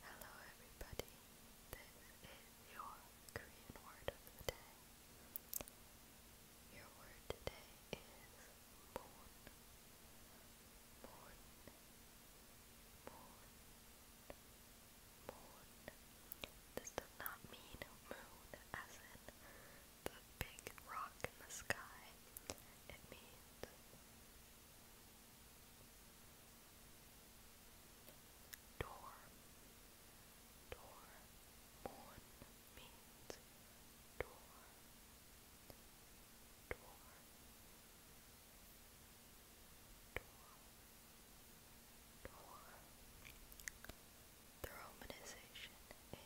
Hello, everybody. This is your Korean word of the day. Your word today is moon. Moon. Moon. Moon. This does not mean moon as in the big rock in the sky, it means door. Door. Moon means door. Door. Door. Door the romanization is. Moon,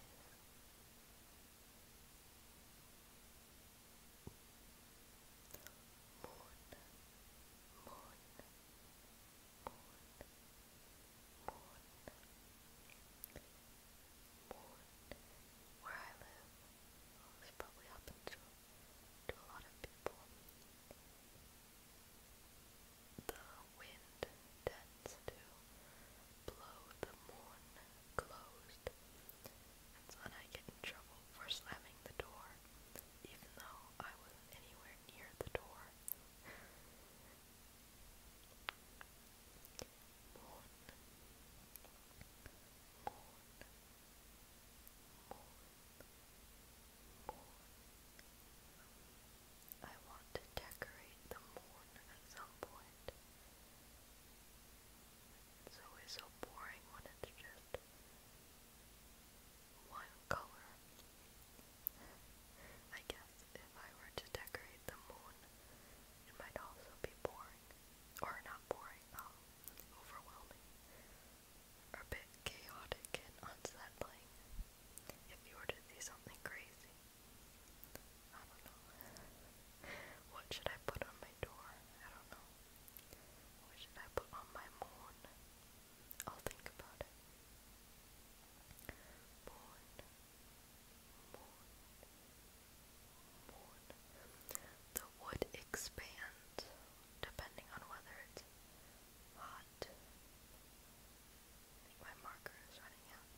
moon, moon, moon, moon. Where I live, this probably happens to a lot of people. The wind tends to blow the moon closed. That's when I get in trouble for slamming the door, even though I wasn't anywhere near the door. I want to decorate the moon at some point. It's always so boring when it's just one color. I guess if I were to decorate the moon, it might also be boring. Or not boring, um, overwhelming are a bit chaotic and unsettling if you were to see something crazy. I don't know. What should I put on my door? I don't know. What should I put on my moon? I'll think about it. Moon. Moon. Moon. The wood expands depending on whether it's hot hot. My marker is running out.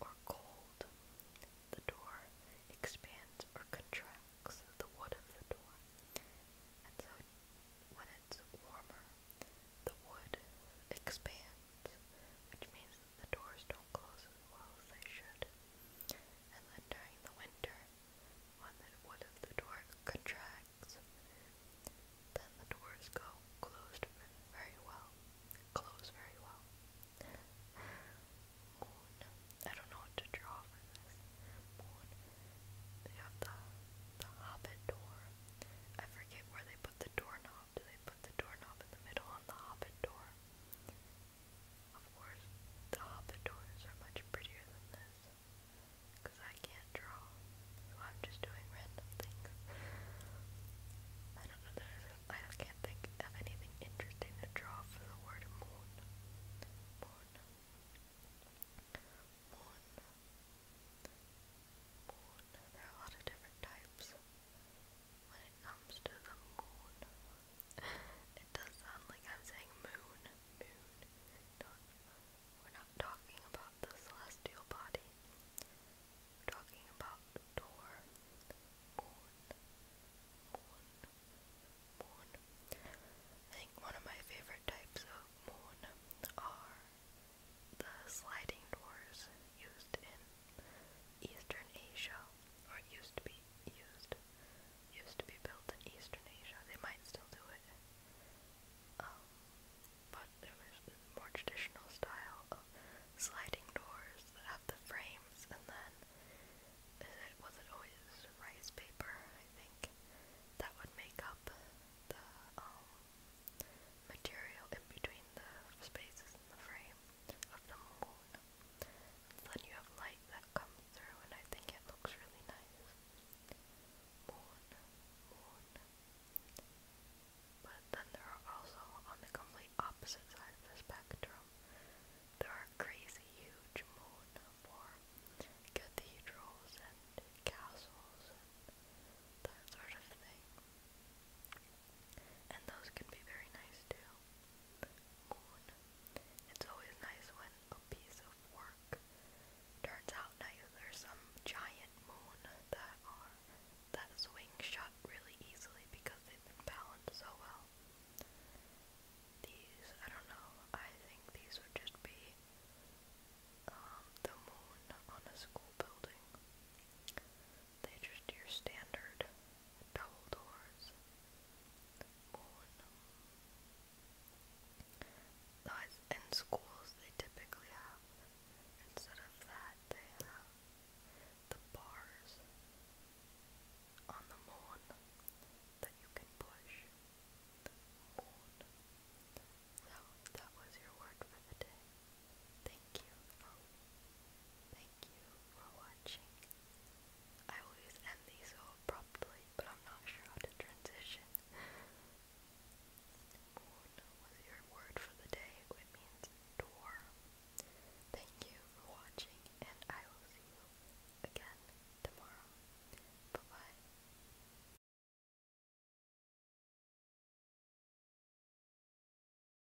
Or cold. The door expands or contracts the wood of the door. And so when it's warmer, the wood expands, which means that the doors don't close as well as they should. And then during the winter, when the wood the door contracts, then the doors go closed very well. Close very well. Moon. I don't know what to draw for this. Moon. They have the the hobbit door. I forget where they put the doorknob. Do they put the doorknob in the middle on the hobbit door? Of course, the hobbit doors are much prettier than this because I can't draw, so I'm just doing random things. I don't know that I can't think of anything interesting to draw for the word moon. Moon. Moon. Moon. There are a lot of different types when it comes to the moon it does sound like I'm saying moon, moon. we're not talking about the celestial body. talking about door, moon, moon, moon. I think one of my favorite types of moon are the sliding doors used in Eastern Asia, or used to be used used to be built in Eastern Asia. They might still do it. Um, but it was the more traditional style of sliding doors that have the frames and then is it was it always rice paper, I think, that would make up the um material in between the spaces in the frame of the moon. And then you have light that come through and I think it looks really nice. Moon, moon. But then there are also, on the complete opposite side of the spectrum, there are crazy huge moon for cathedrals and castles that sort of thing. And those can be very nice too. It's always nice when a piece of work turns out nice. There's some giant moon that are that swing shut really easily because they've been balanced so well. These, I don't know, I think these would just be um, the moon on a school building. They're just your standard double doors. Moon. in schools they typically have, instead of that, they have the bars on the moon that you can push. So, that was your word for the day. Thank you for, thank you for watching I always end these so abruptly, but I'm not sure how to transition. Moon was your word for the day, which means door. Thank you for watching, and I will see you again tomorrow. Bye